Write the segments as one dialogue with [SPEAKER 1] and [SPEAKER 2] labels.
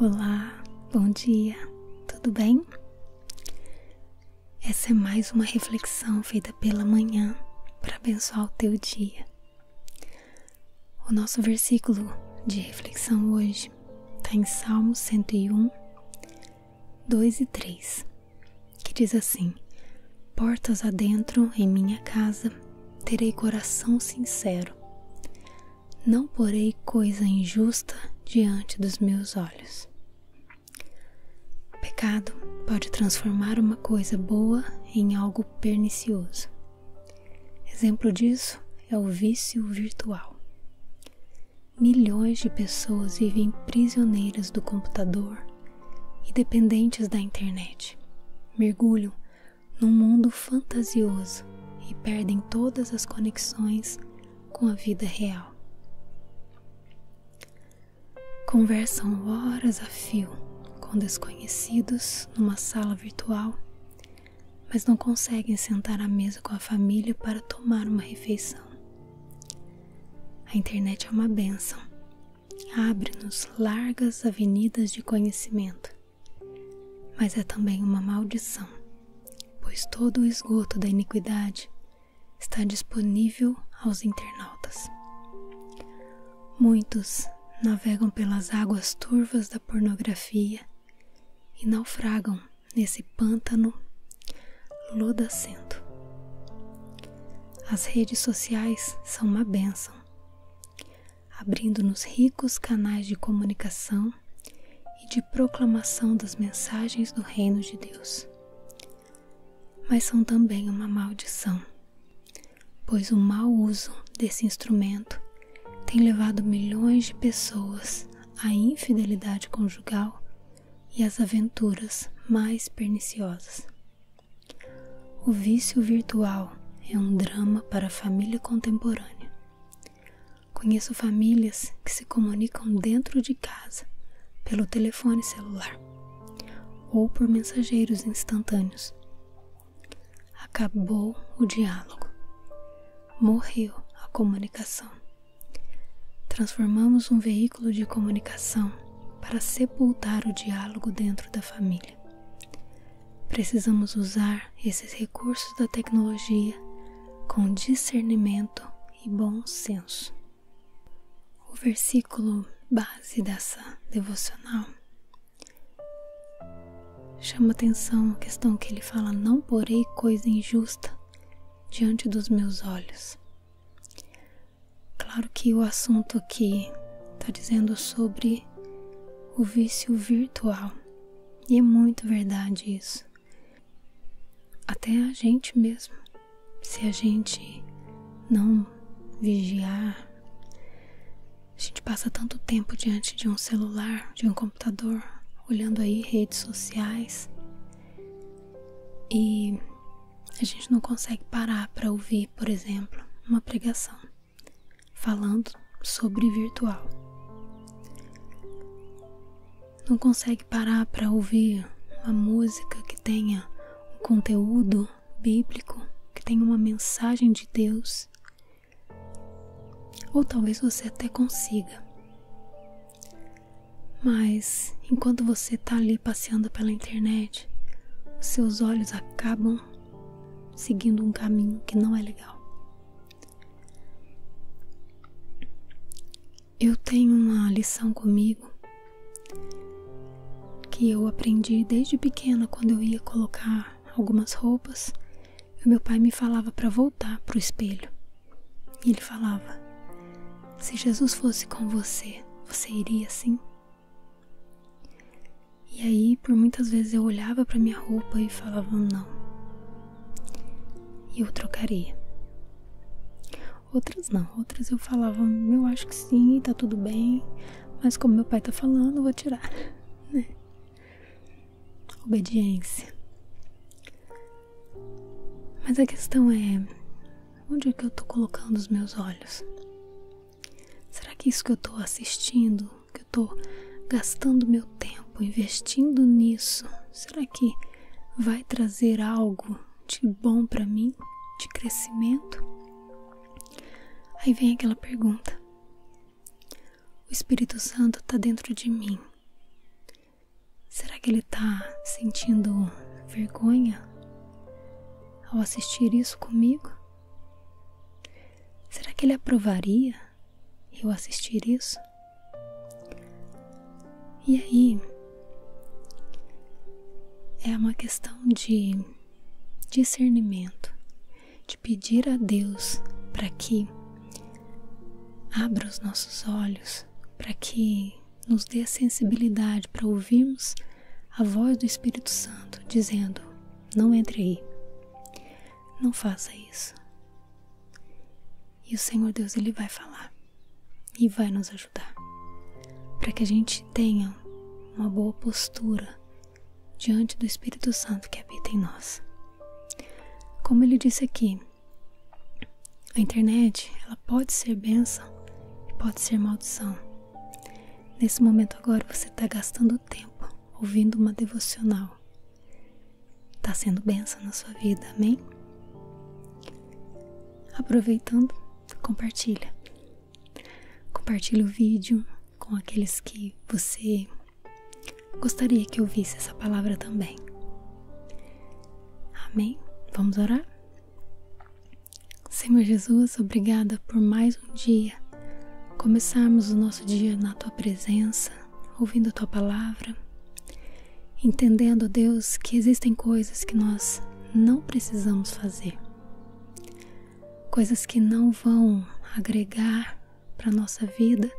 [SPEAKER 1] Olá, bom dia, tudo bem? Essa é mais uma reflexão feita pela manhã para abençoar o teu dia. O nosso versículo de reflexão hoje está em Salmo 101, 2 e 3, que diz assim: Portas adentro em minha casa terei coração sincero, não porei coisa injusta diante dos meus olhos. pecado pode transformar uma coisa boa em algo pernicioso. Exemplo disso é o vício virtual. Milhões de pessoas vivem prisioneiras do computador e dependentes da internet. Mergulham num mundo fantasioso e perdem todas as conexões com a vida real. Conversam horas a fio com desconhecidos numa sala virtual, mas não conseguem sentar à mesa com a família para tomar uma refeição. A internet é uma benção. Abre-nos largas avenidas de conhecimento, mas é também uma maldição, pois todo o esgoto da iniquidade está disponível aos internautas. Muitos navegam pelas águas turvas da pornografia e naufragam nesse pântano lodacento. As redes sociais são uma benção, abrindo-nos ricos canais de comunicação e de proclamação das mensagens do Reino de Deus. Mas são também uma maldição, pois o mau uso desse instrumento tem levado milhões de pessoas a infidelidade conjugal e as aventuras mais perniciosas. O vício virtual é um drama para a família contemporânea. Conheço famílias que se comunicam dentro de casa pelo telefone celular ou por mensageiros instantâneos. Acabou o diálogo morreu a comunicação. Transformamos um veículo de comunicação para sepultar o diálogo dentro da família. Precisamos usar esses recursos da tecnologia com discernimento e bom senso. O versículo base dessa devocional Chama atenção a questão que ele fala: Não porei coisa injusta diante dos meus olhos. Claro que o assunto aqui está dizendo sobre o vício virtual, e é muito verdade isso. Até a gente mesmo, se a gente não vigiar, a gente passa tanto tempo diante de um celular, de um computador, olhando aí redes sociais e a gente não consegue parar para ouvir, por exemplo, uma pregação falando sobre virtual. Não consegue parar para ouvir uma música que tenha conteúdo bíblico, que tenha uma mensagem de Deus ou talvez você até consiga. Mas enquanto você está ali passeando pela internet, os seus olhos acabam seguindo um caminho que não é legal. Eu tenho uma lição comigo que eu aprendi desde pequena quando eu ia colocar algumas roupas, e meu pai me falava para voltar para o espelho. E ele falava: Se Jesus fosse com você, você iria sim E aí, por muitas vezes eu olhava para minha roupa e falava: Não. E eu trocaria. Outras não, outras eu falava: Eu acho que sim, está tudo bem. Mas como meu pai está falando, vou tirar, né? Obediência. Mas a questão é onde é que eu estou colocando os meus olhos? Será que isso que eu estou assistindo, que eu estou gastando meu tempo, investindo nisso, será que vai trazer algo de bom para mim, de crescimento? Aí vem aquela pergunta: O Espírito Santo está dentro de mim. Será que ele está sentindo vergonha ao assistir isso comigo? Será que ele aprovaria eu assistir isso? E aí é uma questão de discernimento de pedir a Deus para que abra os nossos olhos, para que nos dê sensibilidade para ouvirmos a voz do Espírito Santo dizendo: não entre aí, não faça isso. E o Senhor Deus ele vai falar e vai nos ajudar para que a gente tenha uma boa postura diante do Espírito Santo que habita em nós. Como ele disse aqui, a internet ela pode ser benção e pode ser maldição. Nesse momento agora você está gastando tempo ouvindo uma devocional. Está sendo benção na sua vida, amém? Aproveitando compartilha. Compartilha o vídeo com aqueles que você gostaria que ouvisse essa palavra também. Amém? Vamos orar? Senhor Jesus, obrigada por mais um dia. Começarmos o nosso dia na tua presença, ouvindo a tua palavra entendendo, Deus, que existem coisas que nós não precisamos fazer, coisas que não vão agregar para nossa vida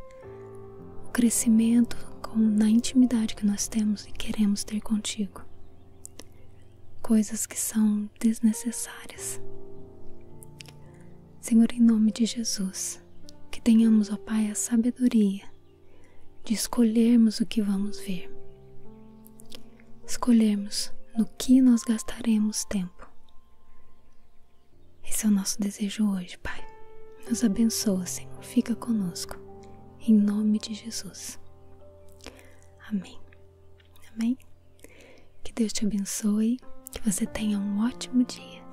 [SPEAKER 1] o crescimento na intimidade que nós temos e queremos ter contigo, coisas que são desnecessárias. Senhor, em nome de Jesus, que tenhamos, ó Pai, a sabedoria de escolhermos o que vamos ver, escolhermos no que nós gastaremos tempo. Esse é o nosso desejo hoje, Pai. Nos abençoa, Senhor. Fica conosco. Em nome de Jesus. Amém. Amém. Que Deus te abençoe. Que você tenha um ótimo dia.